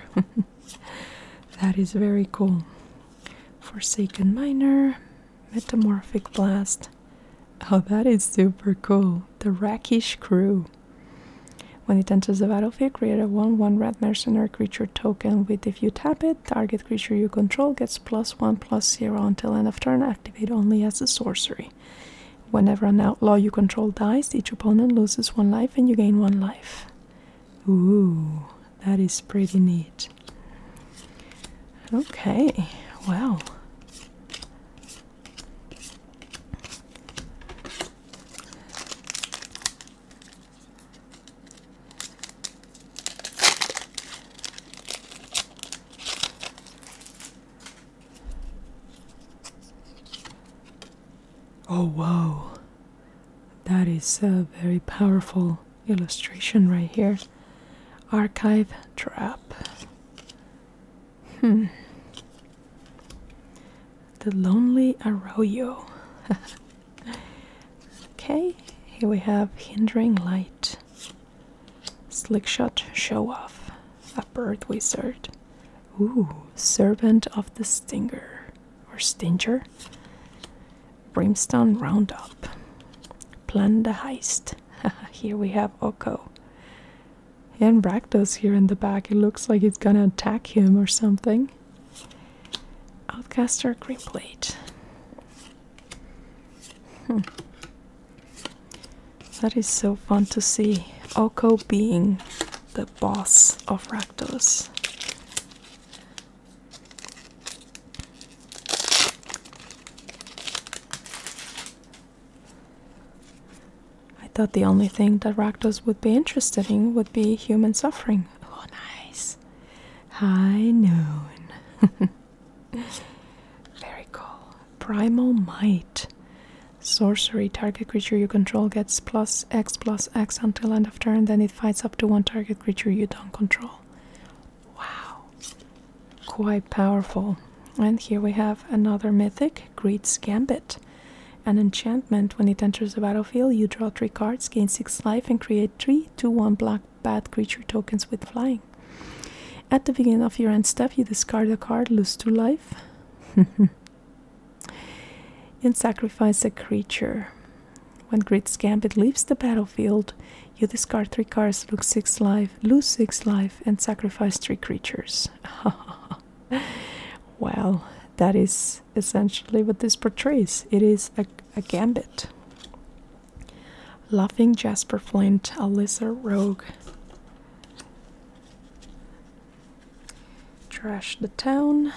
that is very cool. Forsaken Miner, Metamorphic Blast. Oh, that is super cool. The Rakish Crew. When it enters the battlefield, create a 1 1 red mercenary creature token with if you tap it, target creature you control gets plus 1 plus 0 until end of turn activate only as a sorcery. Whenever an outlaw you control dies, each opponent loses one life and you gain one life. Ooh, that is pretty neat. Okay, wow. Oh, wow. That is a very powerful illustration right here. Archive trap. Hmm. The Lonely Arroyo. okay, here we have Hindering Light. Slickshot show off. A bird wizard. Ooh, servant of the stinger or stinger. Brimstone Roundup. Plan the heist. here we have Oko. And Bractos here in the back. It looks like it's gonna attack him or something. Outcaster Greenplate. Hmm. That is so fun to see. Oko being the boss of Rakdos. I thought the only thing that Rakdos would be interested in would be human suffering. Oh, nice. High noon. Very cool. Primal Might. Sorcery. Target creature you control gets X plus X until end of turn, then it fights up to one target creature you don't control. Wow. Quite powerful. And here we have another mythic, Greed's Gambit. An enchantment. When it enters the battlefield, you draw three cards, gain six life, and create three two-one black bad creature tokens with flying. At the beginning of your end step, you discard a card, lose two life, and sacrifice a creature. When Grid's Gambit leaves the battlefield, you discard three cards, lose six life, lose six life, and sacrifice three creatures. well, that is essentially what this portrays. It is a gambit. Laughing Jasper Flint, Alyssa Rogue. Trash the Town,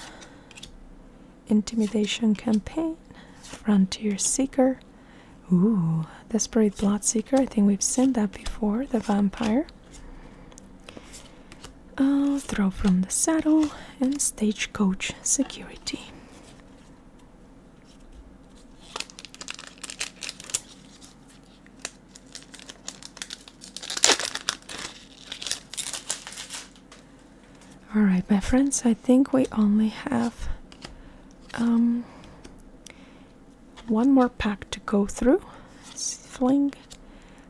Intimidation Campaign, Frontier Seeker. Ooh, Desperate seeker. I think we've seen that before. The Vampire. Oh, throw from the Saddle, and Stagecoach Security. All right, my friends, I think we only have um, one more pack to go through. Fling,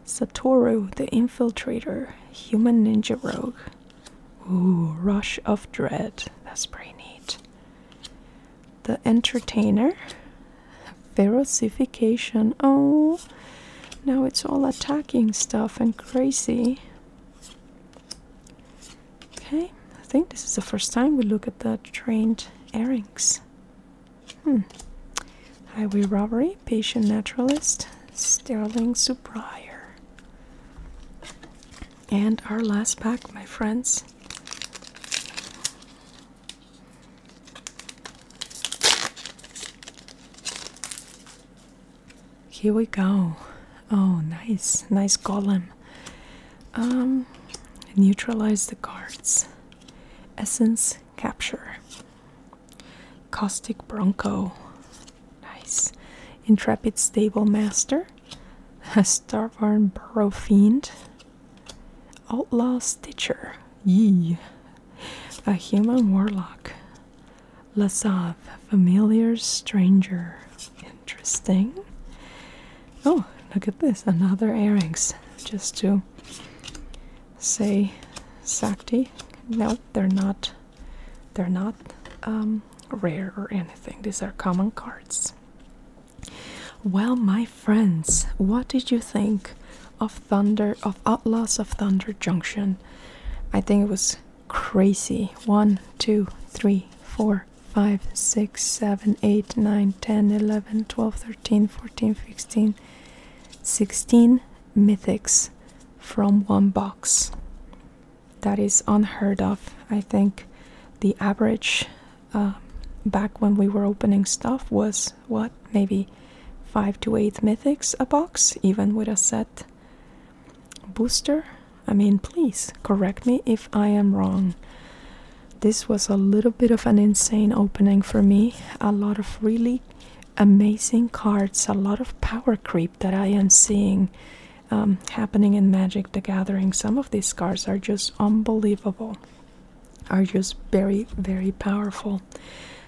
Satoru, the Infiltrator, Human Ninja Rogue. Ooh, Rush of Dread. That's pretty neat. The Entertainer. Verosification. Oh, now it's all attacking stuff and crazy. Okay, I think this is the first time we look at the trained earrings. Hmm. Highway robbery, patient naturalist, Sterling Superior. And our last pack, my friends. Here we go. Oh, nice, nice golem. Um, neutralize the cards. Essence capture. Caustic Bronco. Nice. Intrepid Stable Master. A Starborn Burrow Fiend. Outlaw Stitcher, yee. A human warlock. Lasav, familiar stranger. Interesting. Oh, look at this. Another earrings. Just to say Sakti. No, they're not they're not um, rare or anything. These are common cards. Well, my friends, what did you think of Thunder of Outlaws of Thunder Junction? I think it was crazy. One, two, three, four, five, six, seven, eight, nine, ten, eleven, twelve, thirteen, fourteen, fifteen, sixteen mythics from one box. That is unheard of. I think the average um, back when we were opening stuff was what maybe five to eight mythics a box even with a set booster i mean please correct me if i am wrong this was a little bit of an insane opening for me a lot of really amazing cards a lot of power creep that i am seeing um, happening in magic the gathering some of these cards are just unbelievable are just very, very powerful.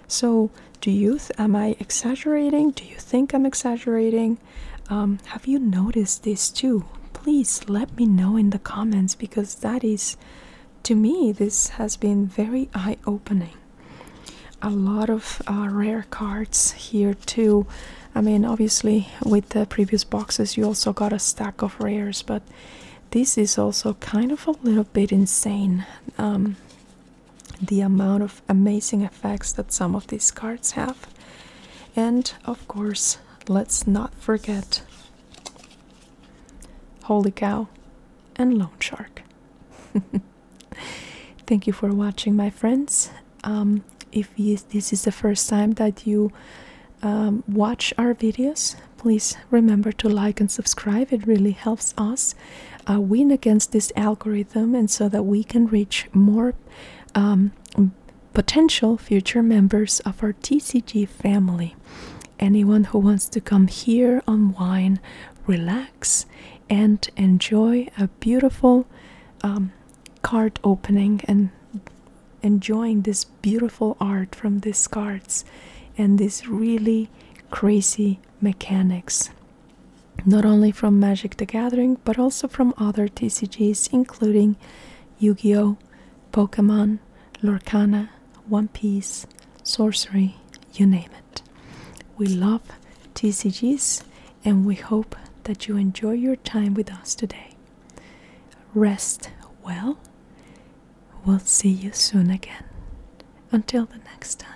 So, do you, am I exaggerating? Do you think I'm exaggerating? Um, have you noticed this too? Please let me know in the comments because that is, to me, this has been very eye opening. A lot of uh, rare cards here too. I mean, obviously, with the previous boxes, you also got a stack of rares, but this is also kind of a little bit insane. Um, the amount of amazing effects that some of these cards have. And of course, let's not forget Holy Cow and Loan Shark. Thank you for watching, my friends. Um, if this is the first time that you um, watch our videos. Please remember to like and subscribe. It really helps us uh, win against this algorithm, and so that we can reach more um, potential future members of our TCG family. Anyone who wants to come here, unwind, relax, and enjoy a beautiful um, card opening and enjoying this beautiful art from these cards and these really crazy mechanics. Not only from Magic the Gathering, but also from other TCGs, including Yu Gi Oh!, Pokemon, Lorcana, One Piece, Sorcery, you name it. We love TCGs and we hope that you enjoy your time with us today. Rest well. We'll see you soon again. Until the next time.